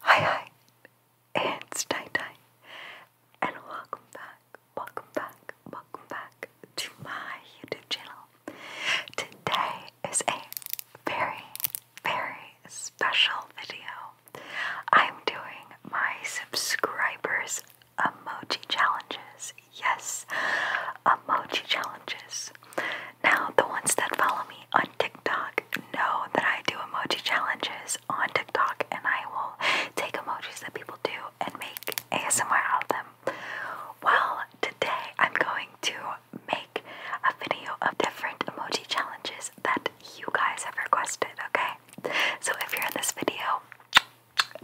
Hi hi, it's Tai Tai, and welcome back, welcome back, welcome back to my YouTube channel. Today is a very, very special video. I'm doing my subscribers' emoji challenges. Yes, emoji challenges. Now, the ones that follow me on TikTok know that I do emoji challenges on TikTok and I will take emojis that people do and make ASMR out of them. Well, today I'm going to make a video of different emoji challenges that you guys have requested, okay? So if you're in this video,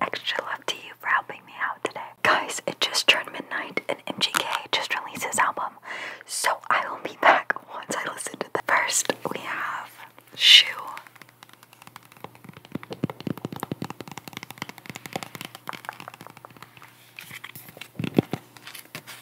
extra love to you for helping me out today. Guys, it just turned midnight and MGK just released his album, so I will be back once I listen to that. First, we have Shoe.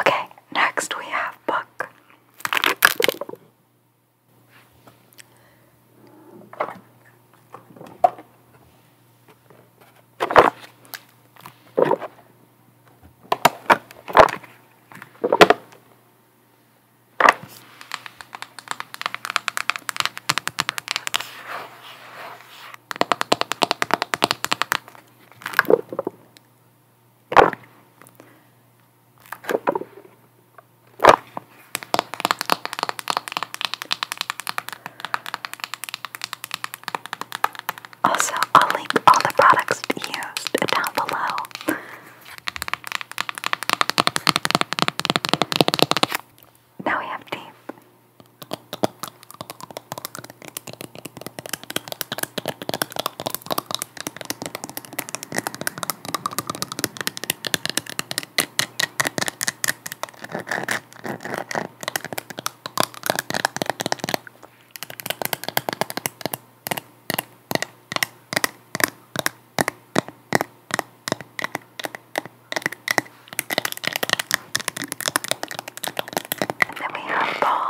Okay, next we have book. Also, I'll link all the products used down below now we have tape. And then we have ball.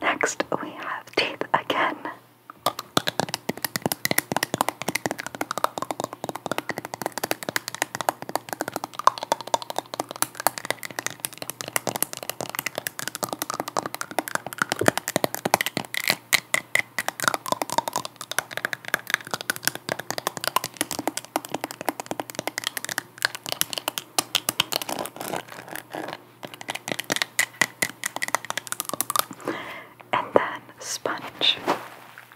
Next, we have teeth again. And then sponge.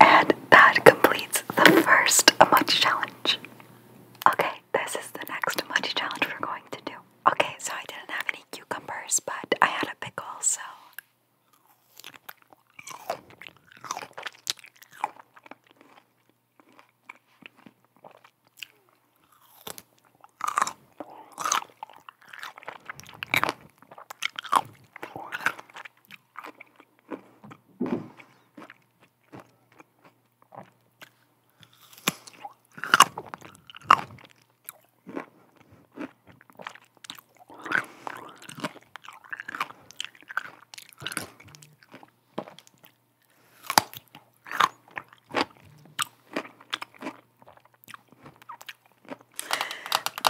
And that completes the first Munchy Challenge. Okay, this is the next Munchy Challenge we're going to do. Okay, so I didn't have any cucumbers, but I had a pickle, so.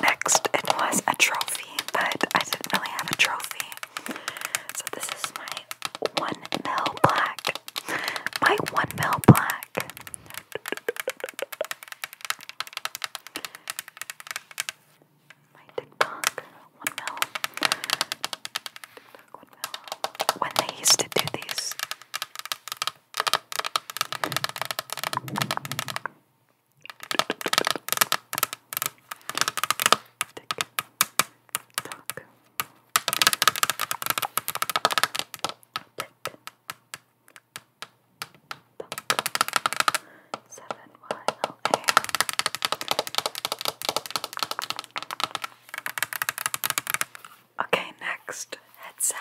Next, it was a trophy, but I didn't really have a trophy. So, this is my one mil black. My one mil black. My TikTok one mil. TikTok one mil. When they used to do these. Tick tock. Seven Y L A. Okay, next headset.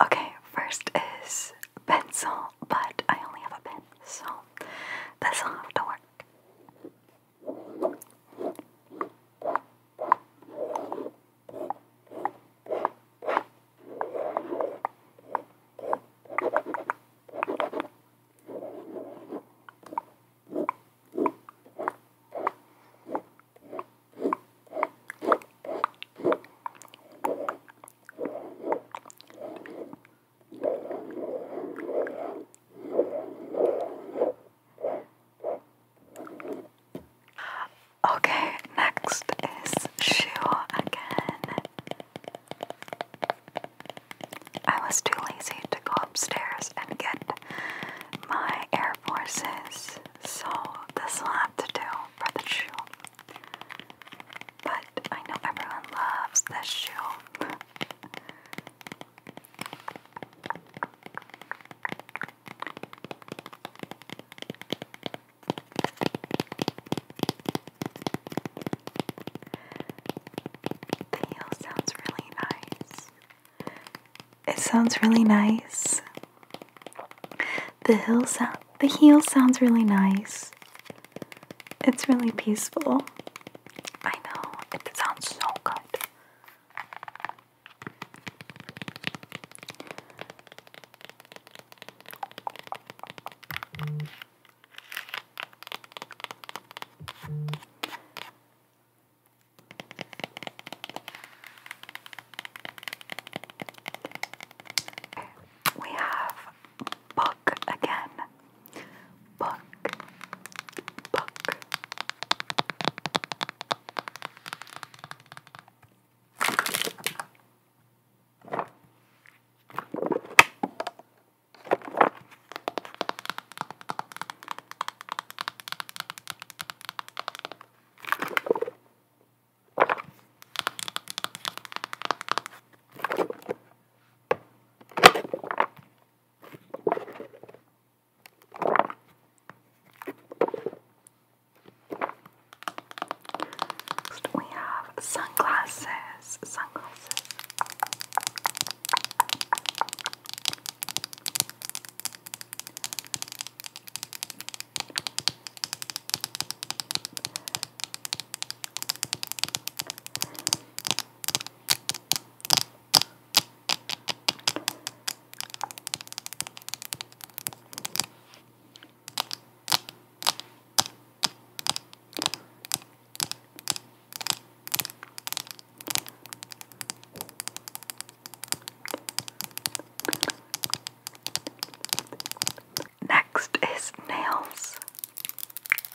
Okay, first is pencil pencil, but I only have a pen, so this'll have to work. Okay, next is shoe again. I was too lazy to go upstairs and get my Air Forces, so this will have to do for the shoe. But I know everyone loves this shoe. The heel sounds really nice. It sounds really nice. The hill sound the heel sounds really nice. It's really peaceful. I know, it sounds so good. We have book book again. Book, book. Next we have sunglasses. Sunglasses. Next is nails.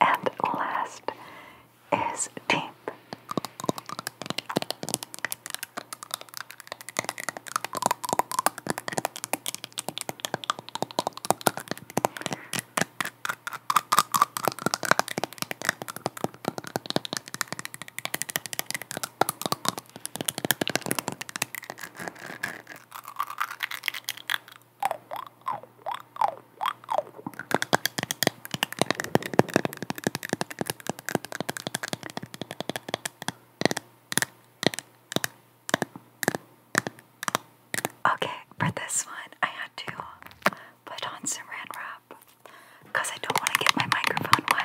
And last is deep. Okay, for this one, I had to put on some ran wrap because I don't want to get my microphone wet.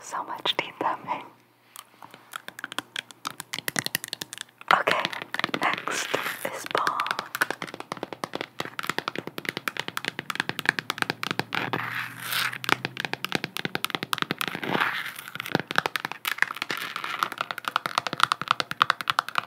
So much teeth thumbing. Okay, next is Paul.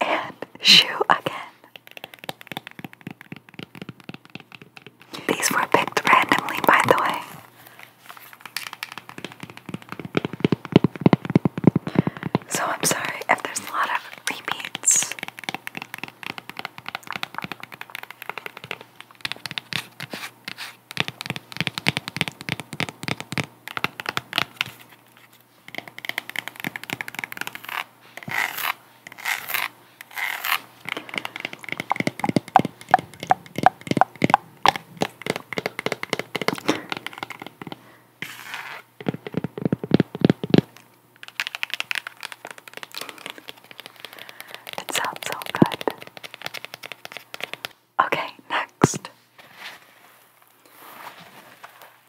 and shoe again. These were picked randomly, by the way. So I'm sorry if there's a lot of repeats. It sounds so good. Okay, next.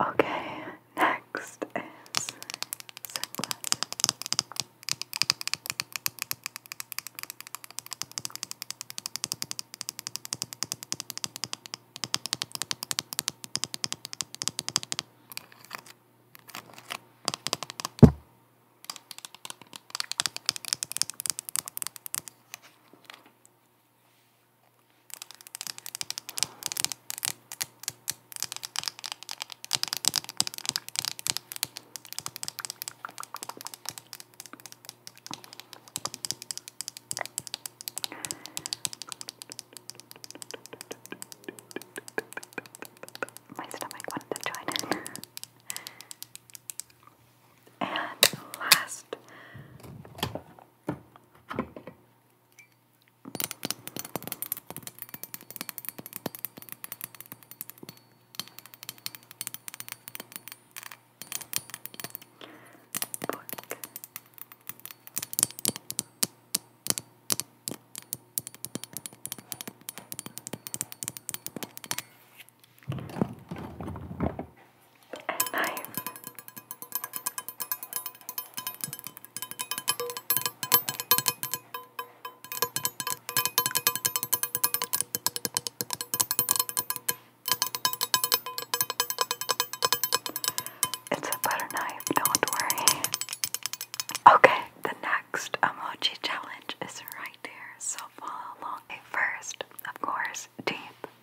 Okay, next is sunglasses. My stomach wanted to join in. And last, and knife. It's a butter knife, don't worry. Okay, the next emoji challenge is right here, so follow along. Okay, first, of course, deep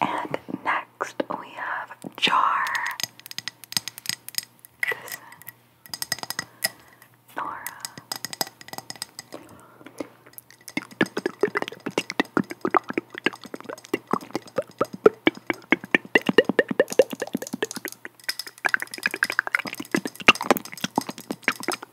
And next we have Jar. This Nora.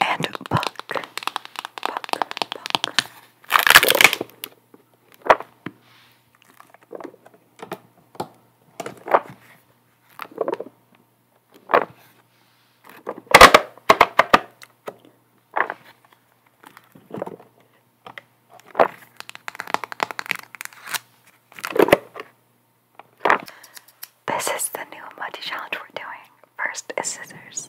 And buck, buck, buck. This is the new muddy challenge we're doing. First is scissors.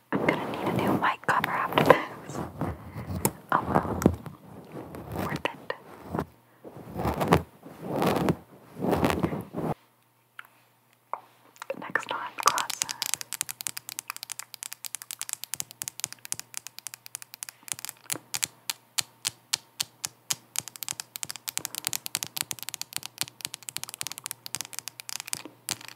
I'm gonna need a new mic cover after this. Oh well. Worth it. Next on classes.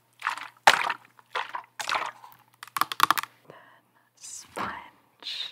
Then sponge.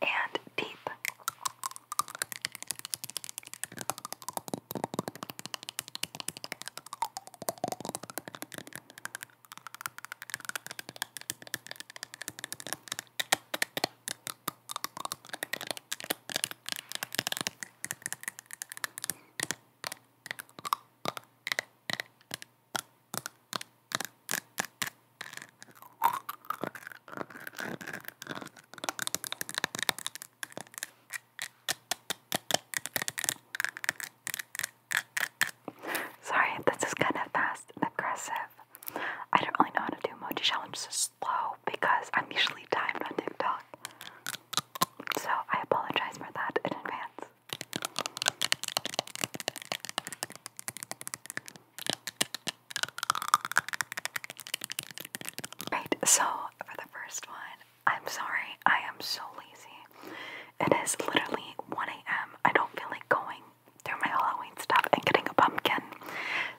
and deep. Sorry this is kind of fast and aggressive. I don't really know how to do emoji challenges slow because I'm usually timed on TikTok. So I apologize for that in advance. Right, so for the first one, I'm sorry, I am so lazy. It is literally 1 a.m. I don't feel like going through my Halloween stuff and getting a pumpkin.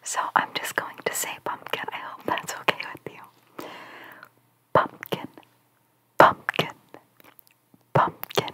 So I'm just going to say pumpkin. I hope that's okay with you. Pumpkin, pumpkin, pumpkin,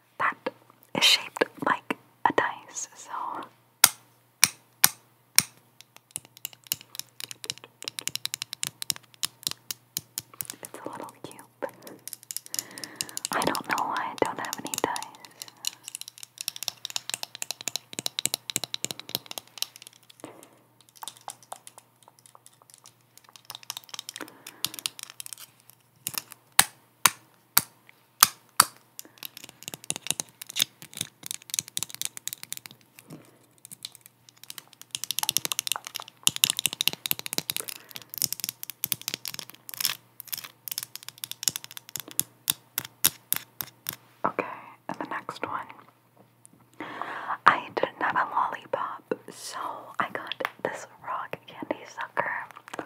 that is shaped like a dice, so. It's a little cube. I don't know why I don't have any dice. Okay, and the next one. I didn't have a lollipop, so I got this rock candy sucker.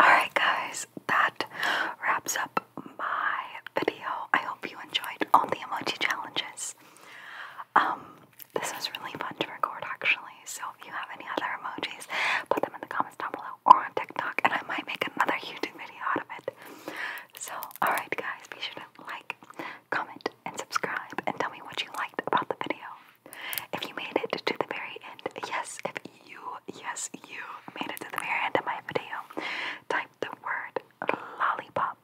Alright guys, that wraps up my video. I hope you enjoyed all the emoji challenges. Um, this was really fun to record actually. So if you have any other emojis, put them in the comments down below or on TikTok, and I might make another YouTube video out of it. So, alright, guys, be sure to like, comment, and subscribe, and tell me what you liked about the video. If you made it to the very end, yes, if you, yes, you made it to the very end of my video, type the word lollipop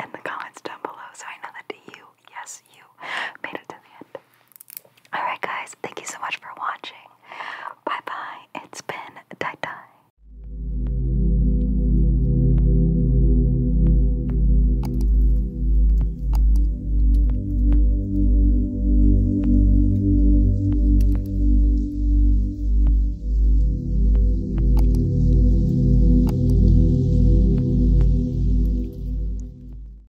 in the comments down below so I know that you yes, you made it to the end. Alright, guys, thank you so much for watching. Bye bye. It's been Tie Tie.